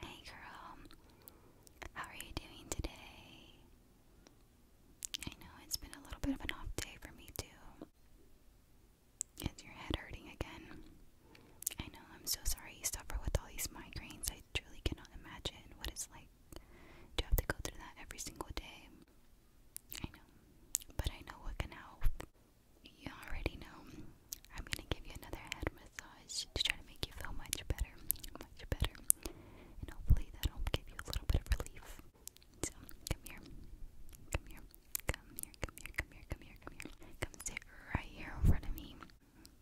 Hey girl, how are you doing today? I know it's been a little bit of an off day for me too. Is your head hurting again? I know, I'm so sorry you suffer with all these migraines. I truly cannot imagine what it's like to have to go through that every single day. I know, but I know what can help. You already know I'm gonna give you another head massage to try to make you feel much better, much better, and hopefully that'll give you a little bit of relief. So come here, come here, come here, come here, come here, come here, come here. Come sit right here in front of me.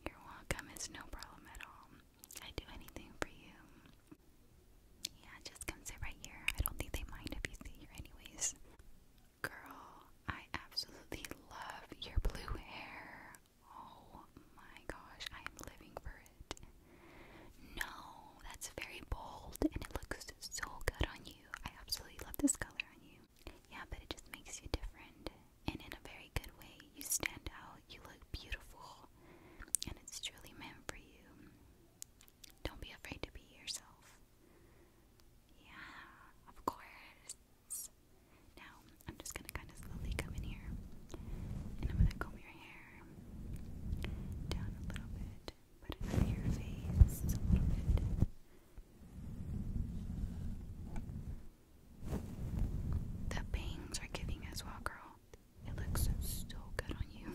You're welcome. It's no problem at all. I do anything for you. Yeah, just come sit right here. I don't think they mind if you sit here, anyways. Girl, I absolutely love your blue hair. Oh my gosh, I am living for it. No, that's very bold and it looks so good on you. I absolutely love this color on you. Yeah, but it just makes you different and in a very good way. You stand out, you look beautiful, and it's truly meant for you. Don't be afraid to be yourself. Yeah, of course. Now, I'm just gonna kind of slowly come in here and I'm gonna comb your hair down a little bit, put it over your face a little The bangs are giving as well, girl. It looks so good on you.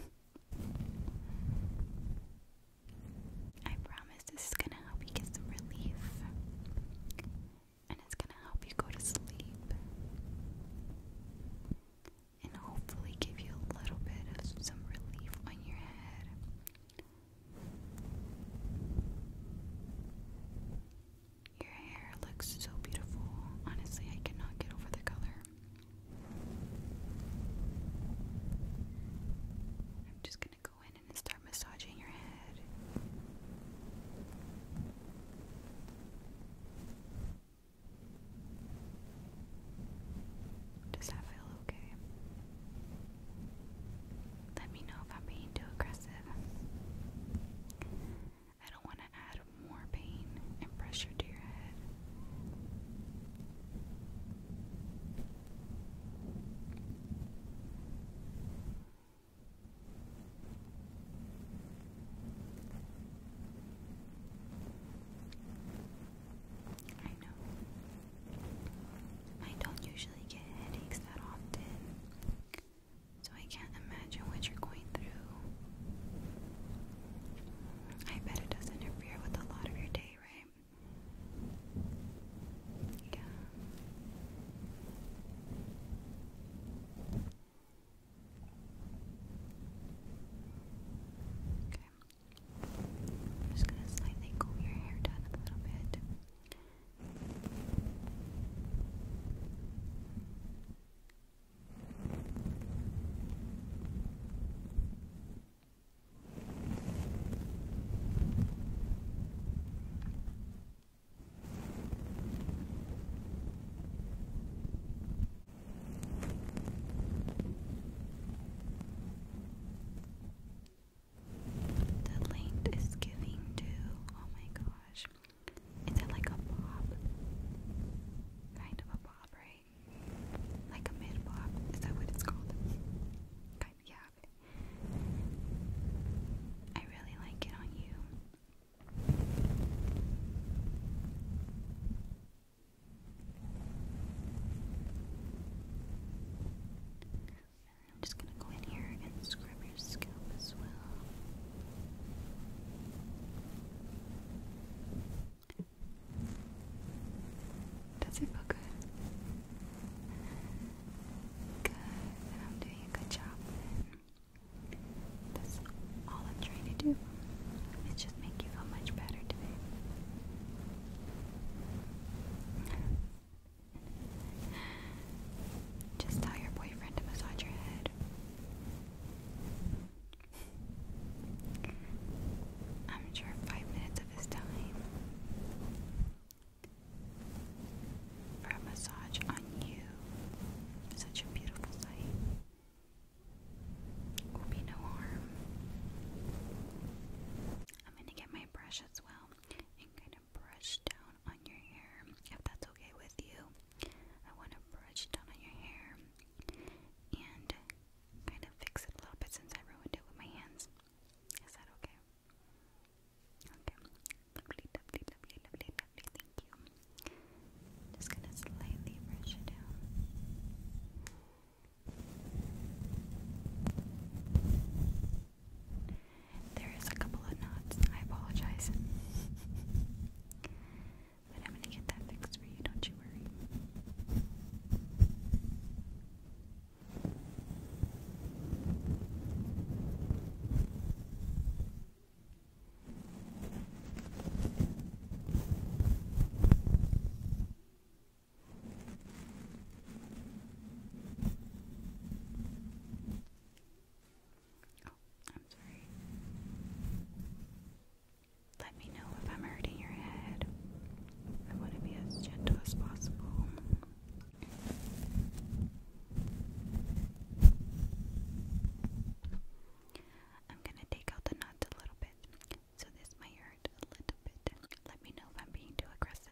I promise this is gonna help you get some relief. And it's gonna help you go to sleep. And hopefully give you a little bit of some relief on your head. Your hair looks so beautiful. Honestly, I cannot get over the color. I'm just gonna go in and start massaging your head. Does that feel okay? Let me know if I'm being too aggressive. I don't want to add more pain and pressure to your head. I know. I don't usually get headaches that often, so I can't imagine what you're going through. I bet it does interfere with a lot of your day, right? right? Yeah. just gonna slightly comb your hair down a little bit. The length is giving to oh my gosh. Is it like a bob? Kind of a bob, right? Like a mid block. Is that what it's called? yeah. I really like it on you. I'm just gonna go in here and scrub your scalp as well. Does it feel good? Good, I'm doing a good job then. That's all I'm trying to do. It's just make you feel much better today. Just tell your boyfriend to massage your head. I'm sure five minutes of his time for a massage on you, such a beautiful sight, will be no harm. I'm gonna get my brush as well and kind of brush down on your hair if that's okay with you. I want to brush down on your hair and kind of fix it a little bit since I ruined it with my hands. Is that okay? Okay. Thank you. Just gonna slightly brush it down. There is a couple of knots. I apologize. But I'm gonna get that fixed for you, don't you worry. Oh, I'm sorry. Let me know if I'm hurting your head. I want to be as gentle as possible. I'm going to take out the knots a little bit, so this might hurt a little bit. Let me know if I'm being too aggressive.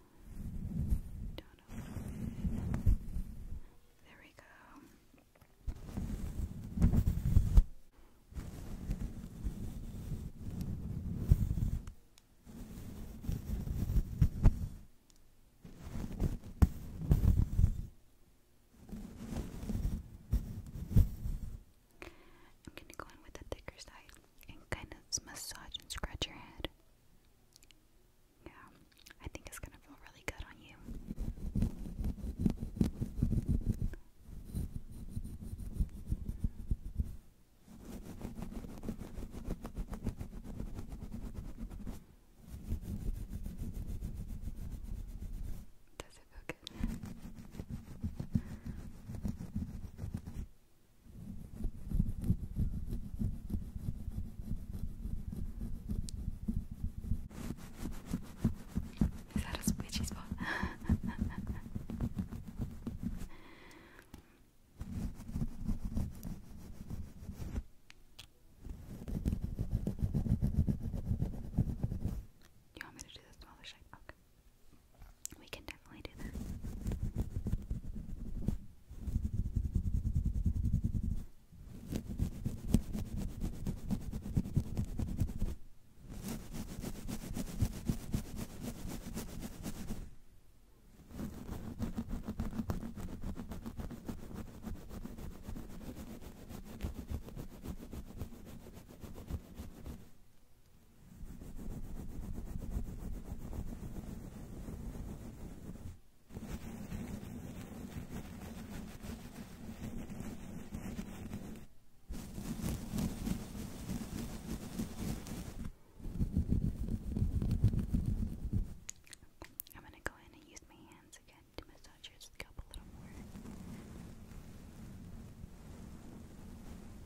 There we go. I'm going to go in with the thicker side and kind of massage and scratch your head. Yeah, I think it's gonna feel really good on you. Does it feel good? Is that a squishy spot? You want me to do the smaller shape? Okay. We can can definitely do that. I'm going to go in and use my hands again to massage your scalp a little more.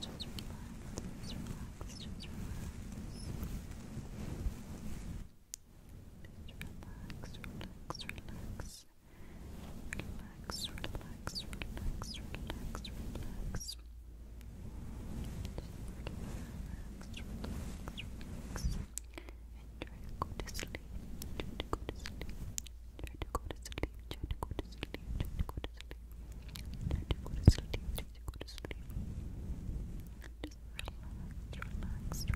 just relax, just relax, just relax. Just relax, relax, relax. Relax, relax, relax, relax, relax. Just relax, relax, relax. And try to go to sleep. Try to go to sleep. Try to go to sleep. Try to go to sleep. Try to go to sleep. Let you Just relax, relax, relax. Do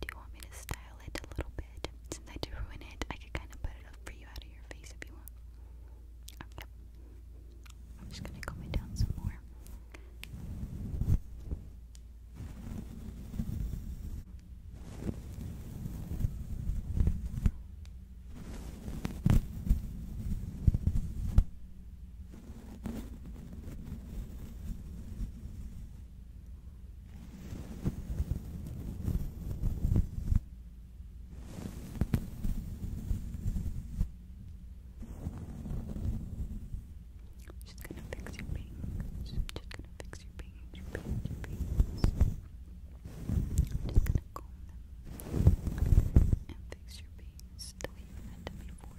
you want me to style curl a little bit. Since I did ruin it, I could kind of put it up for you out of your face if you want. I'm just gonna comb down some more. She's gonna fix your pink. just gonna fix your pink, just gonna comb them and fix your pinks the way you had them before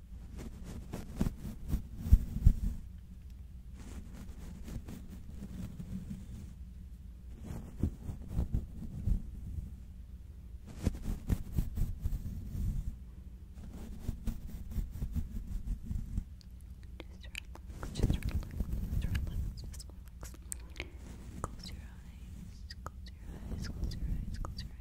just relax, just relax. Close your eyes, close your eyes, close your eyes, close your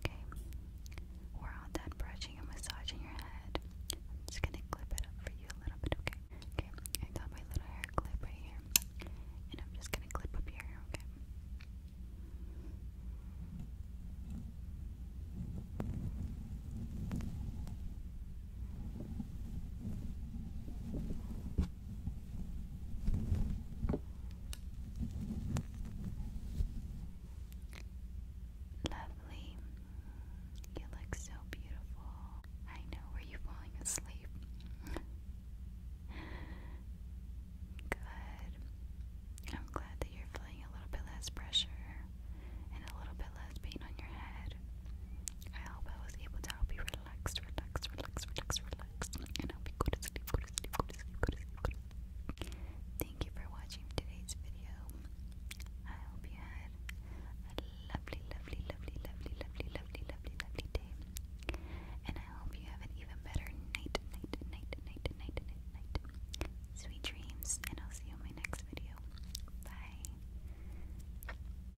Okay, we're all done brushing and massaging your head. I'm just gonna clip it up for you a little bit, okay? Okay, I got my little hair clip right here, and I'm just gonna clip up your Okay, Lovely. You look so beautiful. I know. Were you falling asleep? Good. I'm glad that you're feeling a little bit less pressure and a little bit less pain on your head. I hope I was able to help you relax relax, relax, relax, relax, relax, and help you go to to sleep, go to sleep, go to sleep, go to sleep. Thank you for watching today's video. I hope you had a lovely, lovely, lovely, lovely, lovely, lovely, lovely, lovely day. And I hope you have an even better night, night, night, night, night, night, night. Sweet dreams, and I'll see you in my next video. Bye.